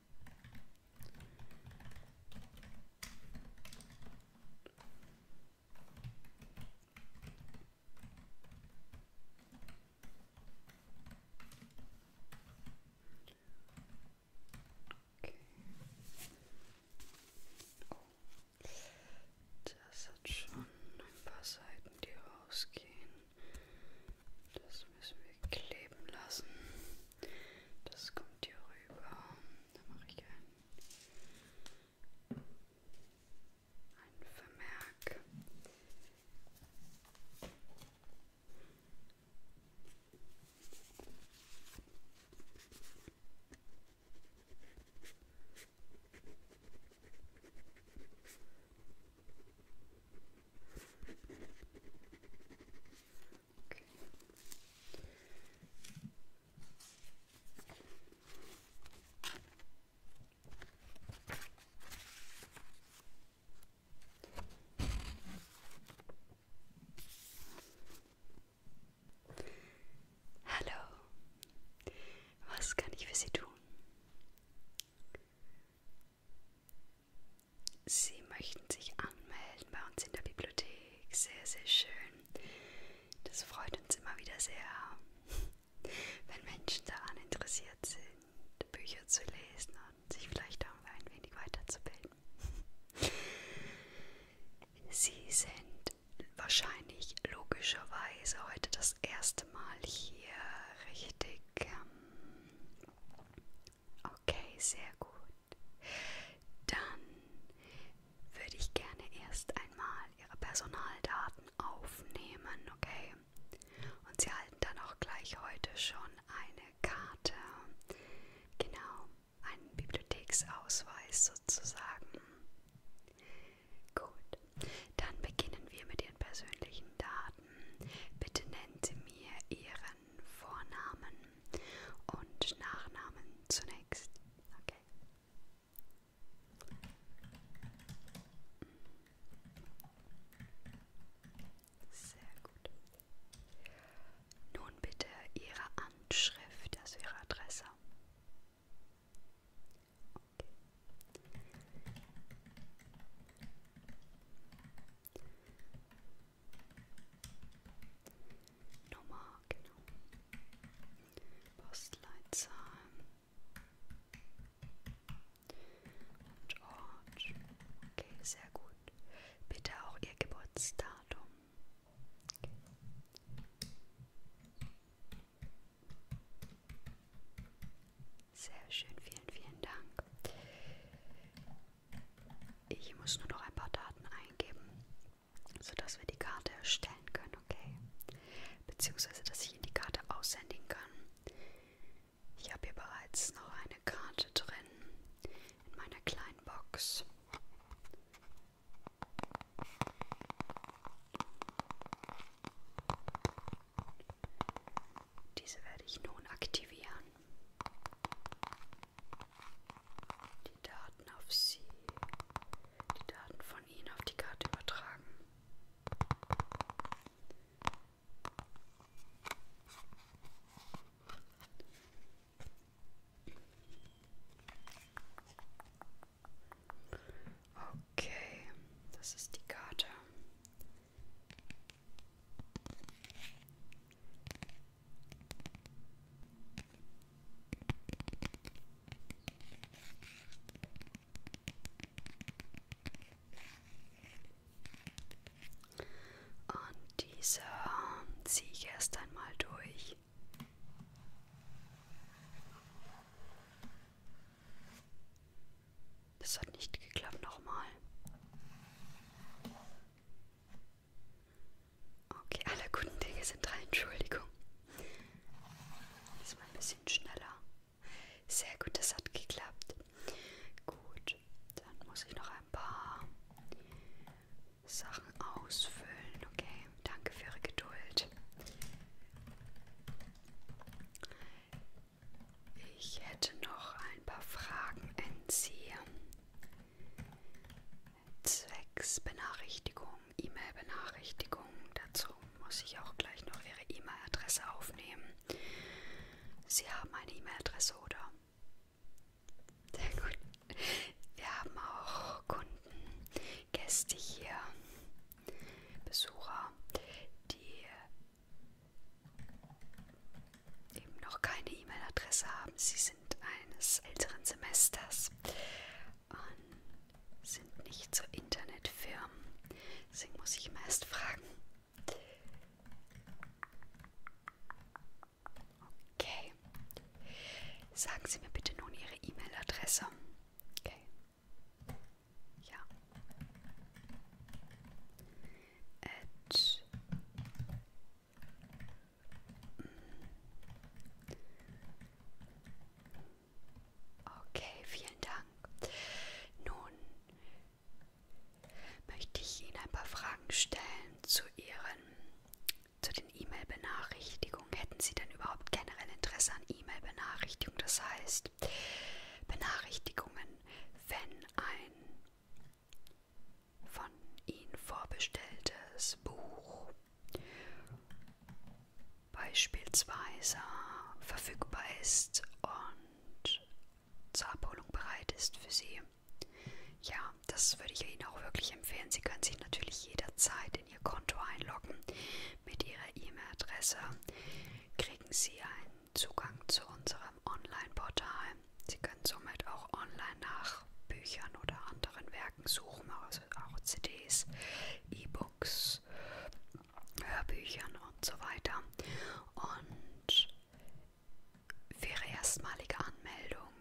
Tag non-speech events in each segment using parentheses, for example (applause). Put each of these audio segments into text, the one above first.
Okay. Oh. Das hat schon ein paar Seiten, die rausgehen. Das müssen wir kleben lassen. Das kommt hier rüber. Da mache ich ein, ein Vermerk. Okay. Hallo, was kann ich für Sie tun? Sie möchten sich anmelden bei uns in der Bibliothek. Sehr, sehr schön. Das freut uns immer wieder sehr, wenn Menschen daran interessiert sind, Bücher zu lesen und sich vielleicht darüber ein wenig weiterzubilden. Sie sind wahrscheinlich logischerweise heute das erste Mal hier richtig ähm, Okay, sehr gut. Dann würde ich gerne erst einmal Ihre Personaldaten aufnehmen, okay? Und Sie erhalten dann auch gleich heute schon eine Karte. Genau, einen Bibliotheksausweis sozusagen. Gut, dann beginnen wir mit Ihren persönlichen Daten. Bitte nennen Sie mir Ihren Vornamen, und Nachnamen zunächst. Okay. Sehr gut. Nun bitte Ihre Anschrift, also Ihre Adresse. Okay. Nummer, genau. Postleitzahl. Und Ort. Oh, okay, sehr gut. Bitte auch Ihr Geburtsdatum. Okay. Sehr schön, vielen, vielen Dank. Ich muss nur noch ein paar Daten eingeben, sodass wir die Karte erstellen können, okay? Beziehungsweise, dass ich Ihnen die Karte aussenden kann. Ich habe hier bereits noch eine Karte drin in meiner kleinen Box. Diese werde ich nun aktivieren die Daten auf Sie, die Daten von Ihnen auf die Karte übertragen. Okay, das ist die Karte. Und diese ziehe ich erst einmal durch. Das hat nicht geklappt nochmal. Okay, alle guten Dinge sind drei, Entschuldigung. Diesmal ein bisschen schneller. Sehr gut, das hat geklappt. Gut, dann muss ich noch ein paar Sachen ausfüllen. Okay, danke für Ihre Geduld. Ich hätte noch ein paar Fragen an Sie. Zwecks Benachrichtigung, E-Mail-Benachrichtigung. Dazu muss ich auch gleich noch Ihre E-Mail-Adresse aufnehmen. Sie haben eine E-Mail-Adresse, oder? Sehr gut. Wir haben auch Kunden, Gäste hier, Besucher, die eben noch keine E-Mail-Adresse haben. Sie sind eines älteren Semesters und sind nicht so Internetfirmen. Deswegen muss ich immer erst fragen. Okay. Sagen Sie mir bitte nun Ihre E-Mail-Adresse. Okay. Ja at Okay, vielen Dank. Nun möchte ich Ihnen ein paar Fragen stellen zu Ihren, zu den E-Mail-Benachrichtigungen. Hätten Sie denn überhaupt generell Interesse an E-Mail-Benachrichtigungen? Das heißt, Benachrichtigungen, wenn ein von Ihnen vorbestelltes Buch beispielsweise verfügbar ist und zur Abholung bereit ist für Sie. Ja, das würde ich Ihnen auch wirklich empfehlen. Sie können sich natürlich jederzeit in Ihr Konto einloggen mit Ihrer E-Mail-Adresse. Kriegen Sie ein Zugang zu unserem Online-Portal. Sie können somit auch online nach Büchern oder anderen Werken suchen, also auch CDs, E-Books, Hörbüchern und so weiter. Und für Ihre erstmalige Anmeldung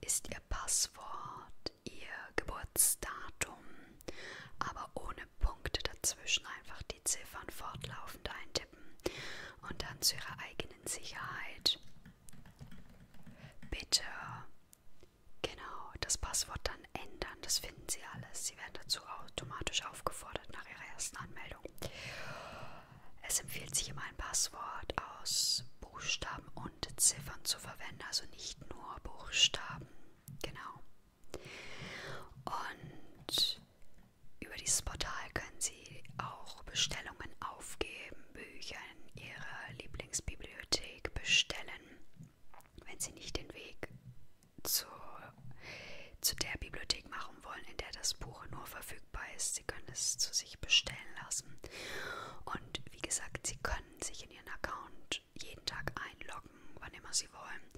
ist Ihr Passwort, Ihr Geburtsdatum, aber ohne Punkte dazwischen einfach die Ziffern fortlaufend eintippen und dann zu Ihrer eigenen Innensicherheit. Bitte genau das Passwort dann ändern. Das finden Sie alles. Sie werden dazu automatisch aufgefordert nach Ihrer ersten Anmeldung. Es empfiehlt sich immer ein Passwort aus Buchstaben und Ziffern zu verwenden, also nicht nur Buchstaben. Genau. Und und über dieses Portal können Sie auch Bestellungen aufgeben, Bücher in Ihrer Lieblingsbibliothek bestellen, wenn Sie nicht den Weg zu, zu der Bibliothek machen wollen, in der das Buch nur verfügbar ist. Sie können es zu sich bestellen lassen. Und wie gesagt, Sie können sich in Ihren Account jeden Tag einloggen, wann immer Sie wollen,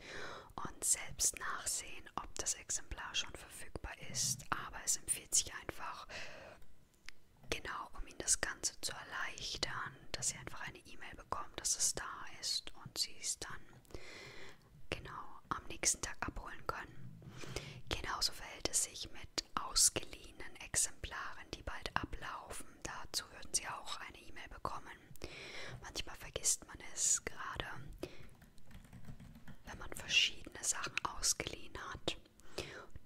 und selbst nachsehen, ob das Exemplar schon verfügbar verfügbar ist, aber es empfiehlt sich einfach, genau um Ihnen das Ganze zu erleichtern, dass Sie einfach eine E-Mail bekommen, dass es da ist und Sie es dann genau am nächsten Tag abholen können. Genauso verhält es sich mit ausgeliehenen Exemplaren, die bald ablaufen. Dazu würden Sie auch eine E-Mail bekommen. Manchmal vergisst man es gerade wenn man verschiedene Sachen ausgeliehen hat,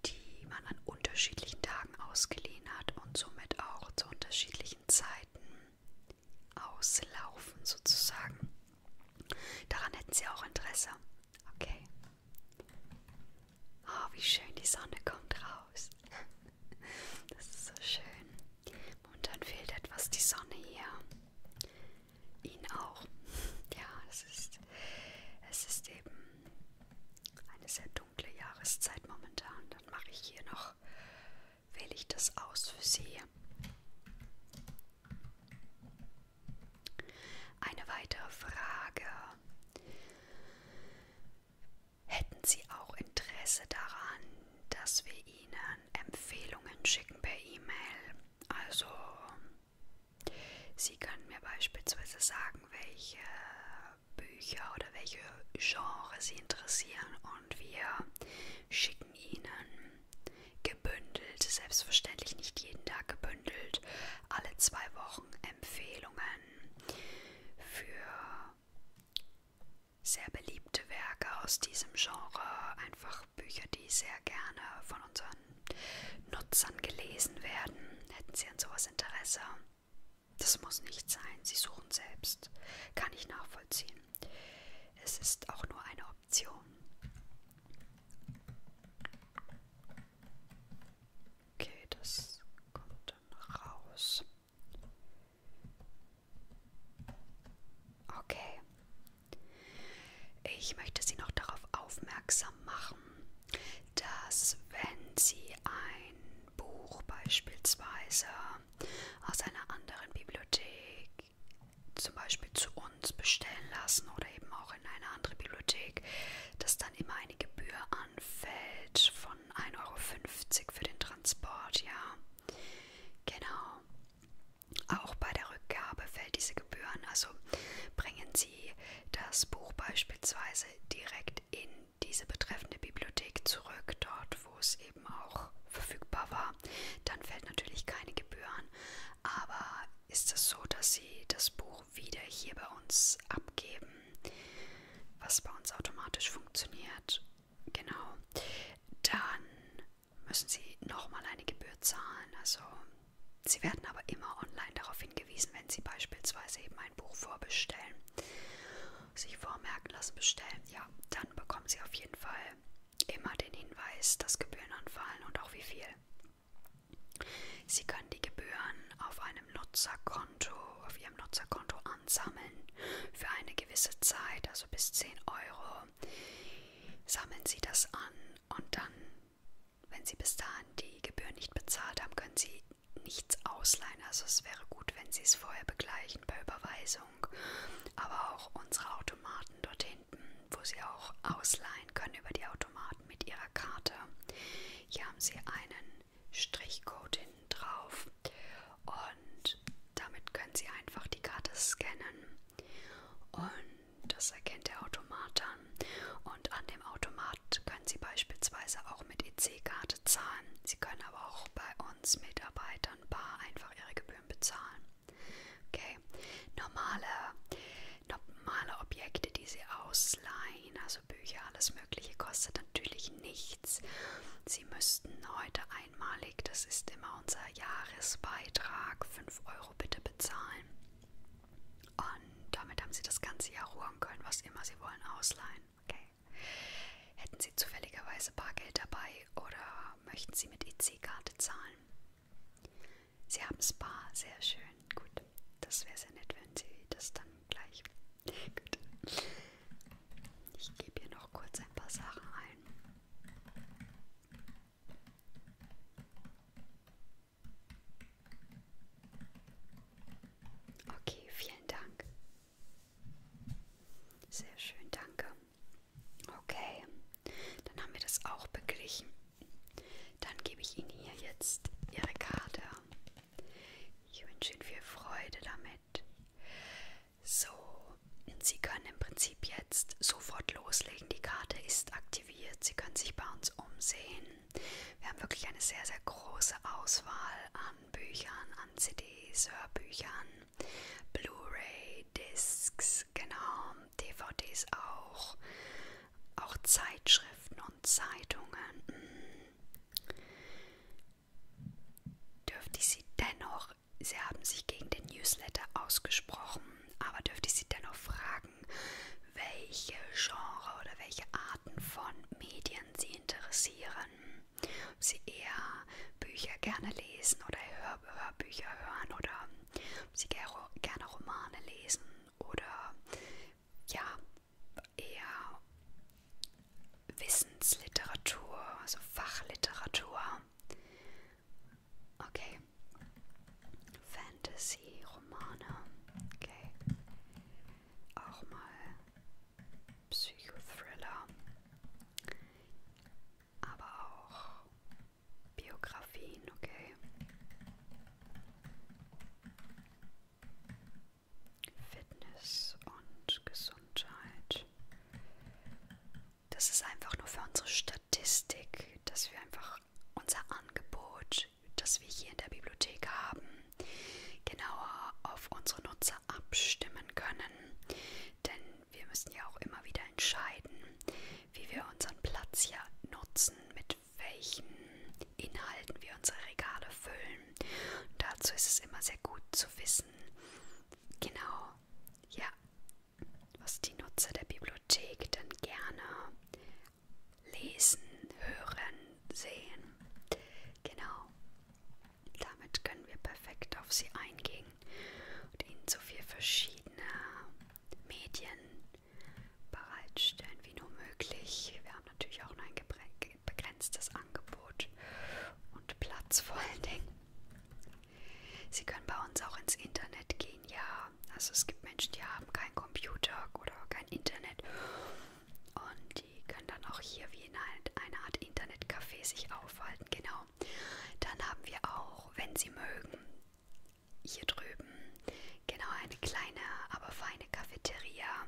die man an unterschiedlichen Tagen ausgeliehen hat und somit auch zu unterschiedlichen Zeiten auslaufen sozusagen. Daran hätten sie auch Interesse. Okay. Oh, wie schön die Sonne kommt raus. (laughs) Das ist so schön. Und dann fehlt etwas die Sonne hier ihn auch. Ja, es ist, es ist eben eine sehr dunkle Jahreszeit momentan. Dann mache ich hier noch, wähle ich das aus für Sie. Eine weitere Frage. Hätten Sie auch Interesse daran, dass wir Ihnen Empfehlungen schicken per E-Mail? Also, Sie können mir beispielsweise sagen, welche Bücher oder welche Genre Sie interessieren und wir schicken Ihnen gebündelt, selbstverständlich nicht jeden Tag gebündelt, alle zwei Wochen Empfehlungen für sehr beliebte Werke aus diesem Genre einfach Sachbücher, die sehr gerne von unseren Nutzern gelesen werden. Hätten Sie an sowas Interesse? Das muss nicht sein. Sie suchen selbst. Kann ich nachvollziehen. Es ist auch nur eine Option. Okay, das kommt dann raus. Okay, ich möchte Sie noch darauf aufmerksam machen, dass wenn Sie ein Buch beispielsweise aus einer anderen Bibliothek zum Beispiel zu uns bestellen lassen oder eben auch in eine andere Bibliothek, dass dann immer eine Gebühr anfällt von 1,50 Euro für den Transport, ja. Genau. Auch bei der Rückgabe fällt diese Gebühr an. Also bringen Sie das Buch beispielsweise direkt in diese betreffende Bibliothek zurück, dort wo es eben auch verfügbar war. Dann fällt natürlich keine Gebühr an. Aber ist es so, dass Sie das Buch wieder hier bei uns abgeben, was bei uns automatisch funktioniert? Genau. Dann müssen sie nochmal eine Gebühr zahlen. Also sie werden aber immer online darauf hingewiesen, wenn sie beispielsweise eben ein Buch vorbestellen, sich vormerken lassen, bestellen, ja, dann bekommen sie auf jeden Fall immer den Hinweis, dass Gebühren anfallen und auch wie viel. Sie können die Gebühren auf einem Nutzerkonto, auf ihrem Nutzerkonto ansammeln für eine gewisse Zeit, also bis 10 Euro Woche sammeln Sie das an und dann, wenn Sie bis dahin die Gebühr nicht bezahlt haben, können Sie nichts ausleihen. Also es wäre gut, wenn Sie es vorher begleichen bei Überweisung, aber auch unsere Automaten dort hinten, wo Sie auch ausleihen können über die Automaten mit Ihrer Karte. Hier haben Sie einen Strichcode hinten drauf und damit können Sie einfach die Karte scannen und das erkennt der Automat an. Und an dem Automat können Sie beispielsweise auch mit EC-Karte zahlen. Sie können aber auch bei uns Mitarbeitern bar einfach Ihre Gebühren bezahlen. Okay, normale, normale Objekte, die Sie ausleihen, also Bücher, alles Mögliche, kostet natürlich nichts. Sie müssten heute einmalig, das ist immer unser Jahresbeitrag, 5 Euro Euro bitte bezahlen. Und damit haben sie das ganze Jahr ruhen können, was immer sie wollen, ausleihen. Okay. Hätten sie zufälligerweise Bargeld dabei oder möchten sie mit EC-Karte zahlen? Sie haben Spa, sehr schön. Gut, das wäre sehr nett, wenn sie das dann gleich. (laughs) Gut. Ich gebe hier noch kurz ein paar Sachen ein. Okay, vielen Dank. Sehr schön, danke. Okay, dann haben wir das auch beglichen. Dann gebe ich Ihnen hier jetzt Ihre Karte. Ich wünsche Ihnen viel Freude damit. So, Sie können im Prinzip jetzt sofort loslegen. Die Karte ist aktiviert. Sie können sich bei uns umsehen. Wir haben wirklich eine sehr, sehr große Auswahl an Büchern, an CDs, Hörbüchern, Blu-ray, Discs, genau, DVDs auch, auch Zeitschriften und Zeitungen. Hm. Dürfte ich Sie dennoch auch, Sie haben sich gegen den Newsletter ausgesprochen, aber dürfte ich Sie dennoch fragen, welche Genre oder welche Arten von Medien Sie interessieren? Ob Sie eher Bücher gerne lesen oder Hör Hörbücher hören oder ob Sie gerne Romane lesen oder ja, eher Wissensliteratur, also Fachliteratur. Okay. Fantasy-Romane. Okay. Auch mal Psychothriller. Aber auch Biografien, okay. Fitness und Gesundheit das ist einfach nur für unsere Statistik, dass wir einfach unser Angebot, das wir hier in der Bibliothek haben, genauer auf unsere Nutzer abstimmen können. Denn wir müssen ja auch immer wieder entscheiden, wie wir unseren Platz hier nutzen, mit welchen Inhalten wir unsere Regale füllen. Und dazu ist es immer sehr gut zu wissen. Genau, ja, was die Nutzer der Bibliothek denn gerne lesen, hören, sehen. Genau. Damit können wir perfekt auf sie eingehen und ihnen so viel verschiedene Medien bereitstellen wie nur möglich. Wir haben natürlich auch nur ein begrenztes Angebot und Platz vor allen Dingen. Sie können bei uns auch ins Internet gehen, ja. Also es gibt Menschen, die haben keinen Computer oder kein Internet. Und die können dann auch hier wie in halt einer Art Internetcafé sich aufhalten, genau. Dann haben wir auch, wenn Sie mögen, hier drüben, genau eine kleine, aber feine Cafeteria.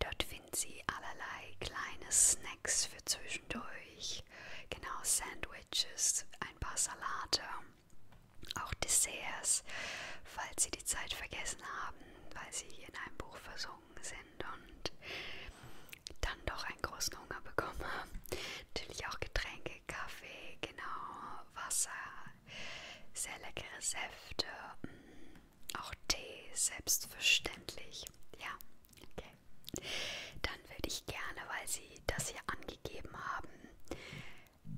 Dort finden Sie allerlei kleine Snacks für zwischendurch. Genau, Sandwiches Sandwiches, ein paar Salate, auch Desserts, falls Sie die Zeit vergessen haben, weil Sie in einem Buch versunken sind und dann doch einen großen Hunger bekommen haben. Natürlich auch Getränke, Kaffee, genau, Wasser, sehr leckere Säfte, mm, auch Tee, selbstverständlich. Ja, okay. Dann würde ich gerne, weil Sie das hier angegeben haben,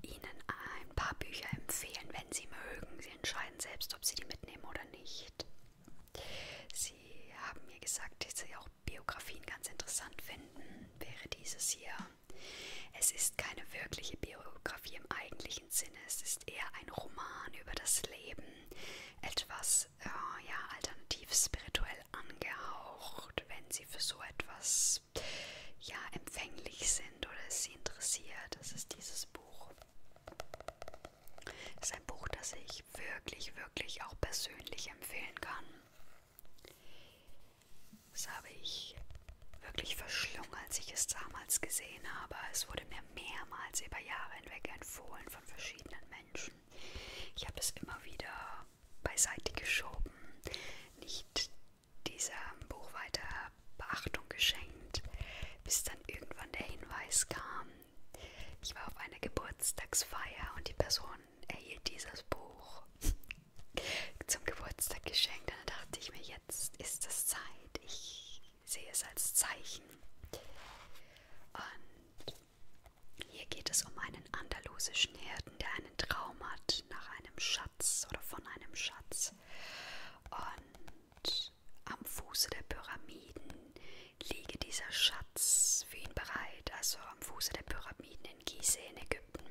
Ihnen ein paar Bücher empfehlen, wenn Sie mögen. Sie entscheiden selbst, ob Sie die mitnehmen oder nicht. Sie haben mir gesagt, dass Sie auch Biografien ganz interessant finden. Wäre dieses hier. Es ist keine wirkliche Biografie im eigentlichen Sinne. Es ist eher ein Roman über das Leben, etwas äh, ja, alternativ spirituell angehaucht braucht, wenn sie für so etwas ja empfänglich sind oder es sie interessiert. Das ist dieses Buch. Das ist ein Buch, das ich wirklich, wirklich auch persönlich empfehlen kann. Das habe ich wirklich verschlungen, als ich es damals gesehen habe. Es wurde mir mehrmals über Jahre hinweg empfohlen von verschiedenen Menschen. Ich habe das immer wieder beiseite geschoben, nicht diesem Buch weiter Beachtung geschenkt, bis dann irgendwann der Hinweis kam. Ich war auf einer Geburtstagsfeier und die Person erhielt dieses Buch (laughs) zum Geburtstag geschenkt. Und dann dachte ich mir, jetzt ist es Zeit. Ich sehe es als Zeichen. Und hier geht es um einen andalusischen Hirten, der einen Traum hat nach einem Schatz oder von einem Schatz. Und am Fuße der Pyramiden liege dieser Schatz für ihn bereit, also am Fuße der Pyramiden in Gizeh in Ägypten.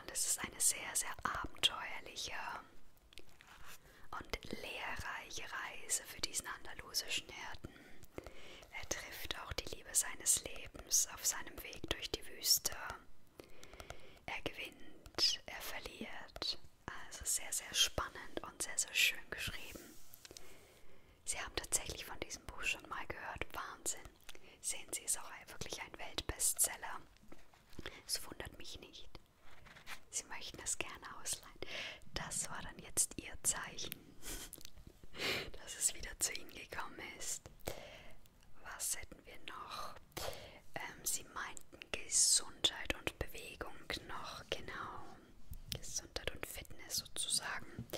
Und es ist eine sehr, sehr abenteuerliche und lehrreiche Reise für diesen andalusischen Hirten. Er trifft auch die Liebe seines Lebens auf seinem Weg durch die Wüste. Er gewinnt, er verliert. Also sehr, sehr spannend und sehr, sehr schön geschrieben. Sie haben tatsächlich von diesem Buch schon mal gehört. Wahnsinn. Sehen Sie, ist auch wirklich ein Weltbestseller. Es wundert mich nicht. Sie möchten es gerne ausleihen. Das war dann jetzt Ihr Zeichen dass es wieder zu ihnen gekommen ist. Was hätten wir noch? Ähm, sie meinten Gesundheit und Bewegung noch, genau. Gesundheit und Fitness sozusagen.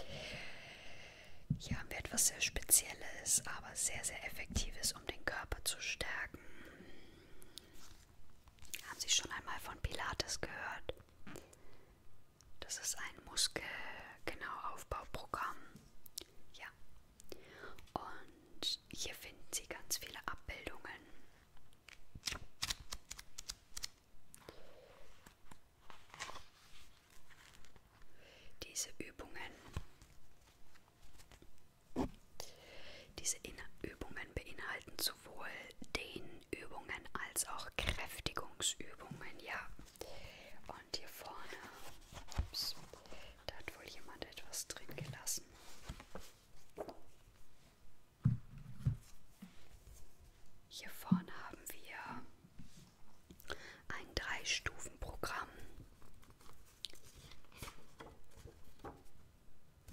Hier haben wir etwas sehr Spezielles, aber sehr, sehr Effektives, um den Körper zu stärken. Haben Sie schon einmal von Pilates gehört? Das ist ein Muskel, genau, Aufbauprogramm. Ja. Und hier finden Sie ganz viele Abbildungen. Diese Übungen, diese In Übungen beinhalten sowohl Dehnübungen als auch Kräftigungsübungen. Ja, und hier vorne, ups, da hat wohl jemand etwas drin gelassen. Hier vorne haben wir ein Drei-Stufen-Programm.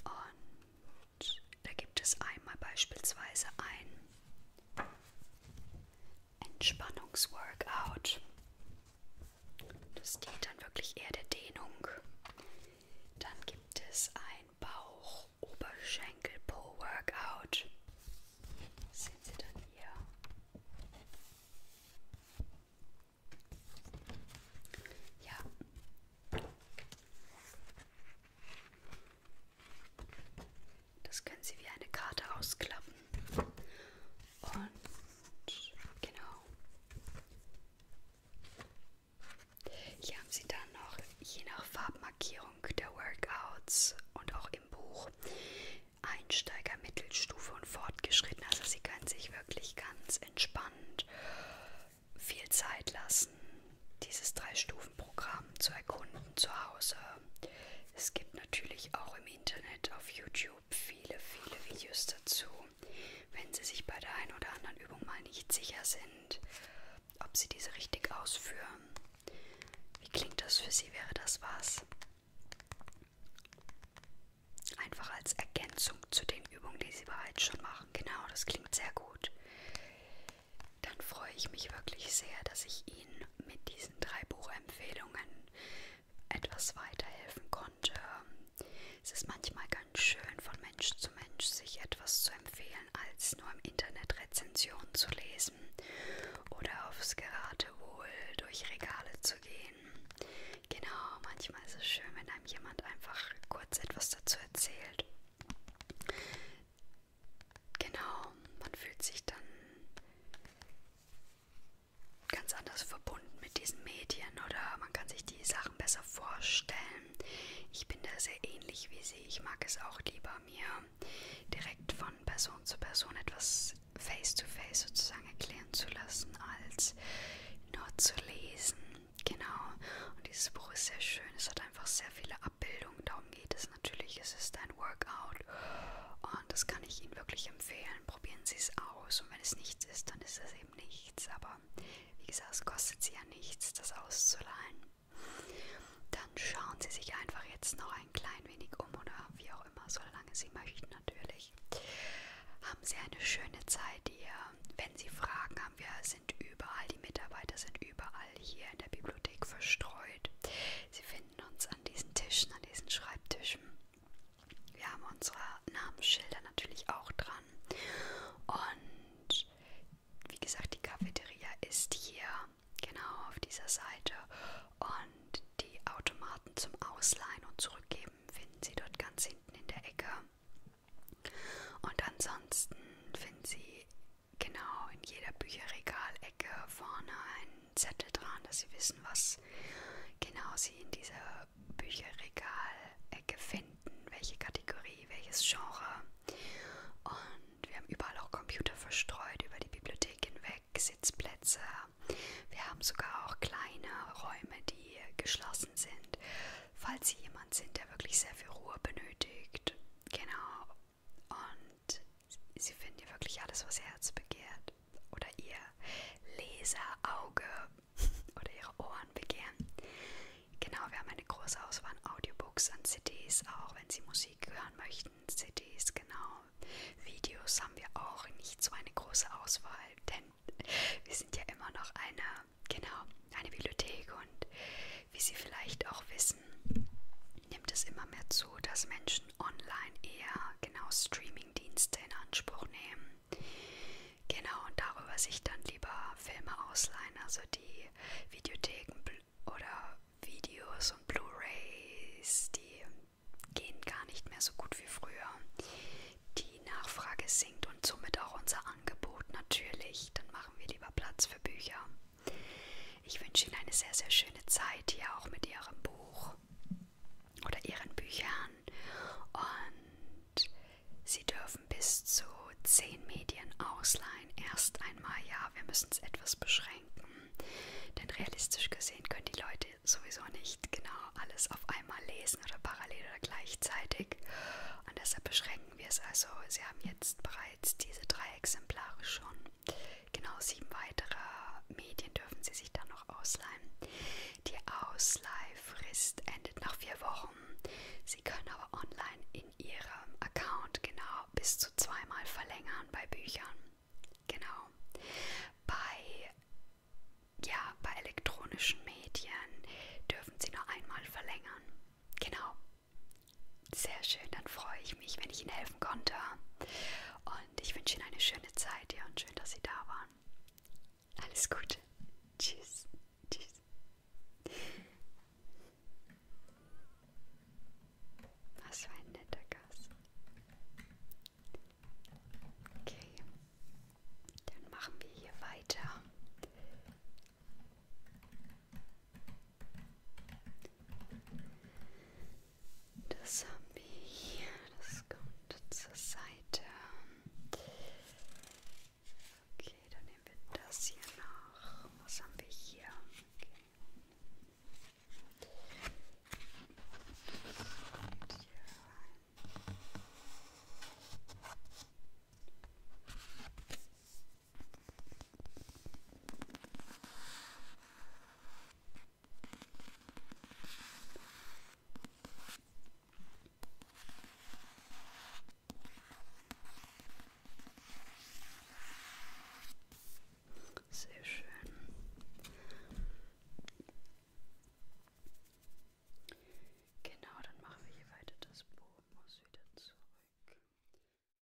Und da gibt es einmal beispielsweise ein Entspannungsworkout. Das dient dann wirklich eher der Dehnung. Dann gibt es ein Bauch-Oberschenkel-Po-Workout. Sehen Sie dann hier. Ja. Das können Sie wie eine Karte ausklappen. Und genau. Hier haben Sie dann noch je nach Farbmarkierung der Workouts und auch im Buch Einsteiger, Mittelstufe und Fortgeschritten. Also Sie können sich wirklich ganz entspannt viel Zeit lassen, dieses drei Stufen Programm zu erkunden zu Hause. Es gibt natürlich auch im Internet auf YouTube viele, viele Videos dazu, wenn Sie sich bei der einen oder anderen Übung mal nicht sicher sind, ob Sie diese richtig ausführen. Wie klingt das für Sie? Wäre das was? Einfach als Ergänzung zu den Übungen, die Sie bereits schon machen. Genau, das klingt sehr gut dann freue ich mich wirklich sehr, dass ich Ihnen mit diesen drei Buchempfehlungen etwas weiterhelfen konnte. Es ist manchmal ganz schön, von Mensch zu Mensch sich etwas zu empfehlen, als nur im Internet Rezensionen zu lesen oder aufs Geratewohl durch Regale zu gehen. Genau, manchmal ist es schön, wenn einem jemand einfach kurz etwas dazu erzählt. Genau, man fühlt sich dann ganz anders verbunden mit diesen Medien oder man kann sich die Sachen besser vorstellen. Ich bin da sehr ähnlich wie sie. Ich mag es auch lieber, mir direkt von Person zu Person etwas face-to-face -face sozusagen erklären zu lassen, als nur zu lesen. Genau. Und dieses Buch ist sehr schön. Es hat einfach sehr viele Abbildung. Darum geht es natürlich. Es ist ein Workout und das kann ich Ihnen wirklich empfehlen. Probieren Sie es aus und wenn es nichts ist, dann ist es eben nichts. Aber wie gesagt, es kostet Sie ja nichts, das auszuleihen. Dann schauen Sie sich einfach jetzt noch ein klein wenig um oder wie auch immer, solange Sie möchten natürlich. Haben Sie eine schöne Zeit hier. Wenn Sie Fragen haben, wir sind überall, die Mitarbeiter sind überall hier in der Bibliothek verstreut. Sie finden uns an diesen Tischen, an diesen Schreibtischen. Wir haben unsere Namensschilder natürlich auch dran. Und wie gesagt, die Cafeteria ist hier, genau auf dieser Seite. Und die Automaten zum Ausleihen und Zurückgeben finden Sie dort ganz hinten in der Ecke. Und ansonsten finden Sie genau in jeder Bücherregalecke vorne einen Zettel dran, dass sie wissen, was genau sie in dieser Bücherregalecke finden, welche Kategorie, welches Genre. Und wir haben überall auch Computer verstreut über die Bibliothek hinweg, Sitzplätze. Wir haben sogar auch kleine Räume, die geschlossen sind, falls Sie jemand sind, der wirklich sehr viel Ruhe benötigt. Genau, und sie finden hier wirklich alles, was ihr Herz begehrt oder ihr Leserauge (laughs) oder ihre Ohren begehren. Genau, wir haben eine große Auswahl an Audiobooks, an CDs, auch wenn sie Musik hören möchten. CDs, genau. Videos haben wir auch nicht so eine große Auswahl, denn wir sind ja immer noch eine, genau, eine Bibliothek und wie Sie vielleicht auch wissen, nimmt es immer mehr zu, dass Menschen online eher genau Streaming-Dienste in Anspruch nehmen. Genau, und darüber sich dann lieber Filme ausleihen, also die Videotheken oder Videos und Blu-rays, die gehen gar nicht mehr so gut wie früher. Die Nachfrage sinkt und somit auch unser Angebot natürlich. Dann machen wir lieber Platz für Bücher. Ich wünsche Ihnen eine sehr, sehr schöne Zeit hier auch mit Ihrem Buch oder Ihren Büchern. Und Sie dürfen bis zu zehn Medien ausleihen. Erst einmal, ja, wir müssen es etwas beschränken. Denn realistisch gesehen können die Leute sowieso nicht genau alles auf einmal lesen oder parallel oder gleichzeitig. Und deshalb beschränken wir es also. Sie haben jetzt bereits diese drei Exemplare schon. Genau sieben weitere Medien dürfen Sie sich dann noch ausleihen. Die Ausleihfrist endet nach vier Wochen. Sie können aber online in Ihrem Account genau bis zu zweimal verlängern bei Büchern. Genau. Bei, ja, bei elektronischen Medien dürfen Sie nur einmal verlängern. Genau. Sehr schön, dann freue ich mich, wenn ich Ihnen helfen konnte. Und ich wünsche Ihnen eine schöne Zeit ja, und schön, dass Sie da waren. Alles Gute. Tschüss. Tschüss. Was für ein netter Gast. Okay. Dann machen wir hier weiter. Das haben wir hier, das kommt zur Seite. Okay, dann nehmen wir das hier noch. Was haben wir hier? Okay. Das hier rein. Sehr schön. Genau, dann machen wir hier weiter. Das Buch muss wieder zurück.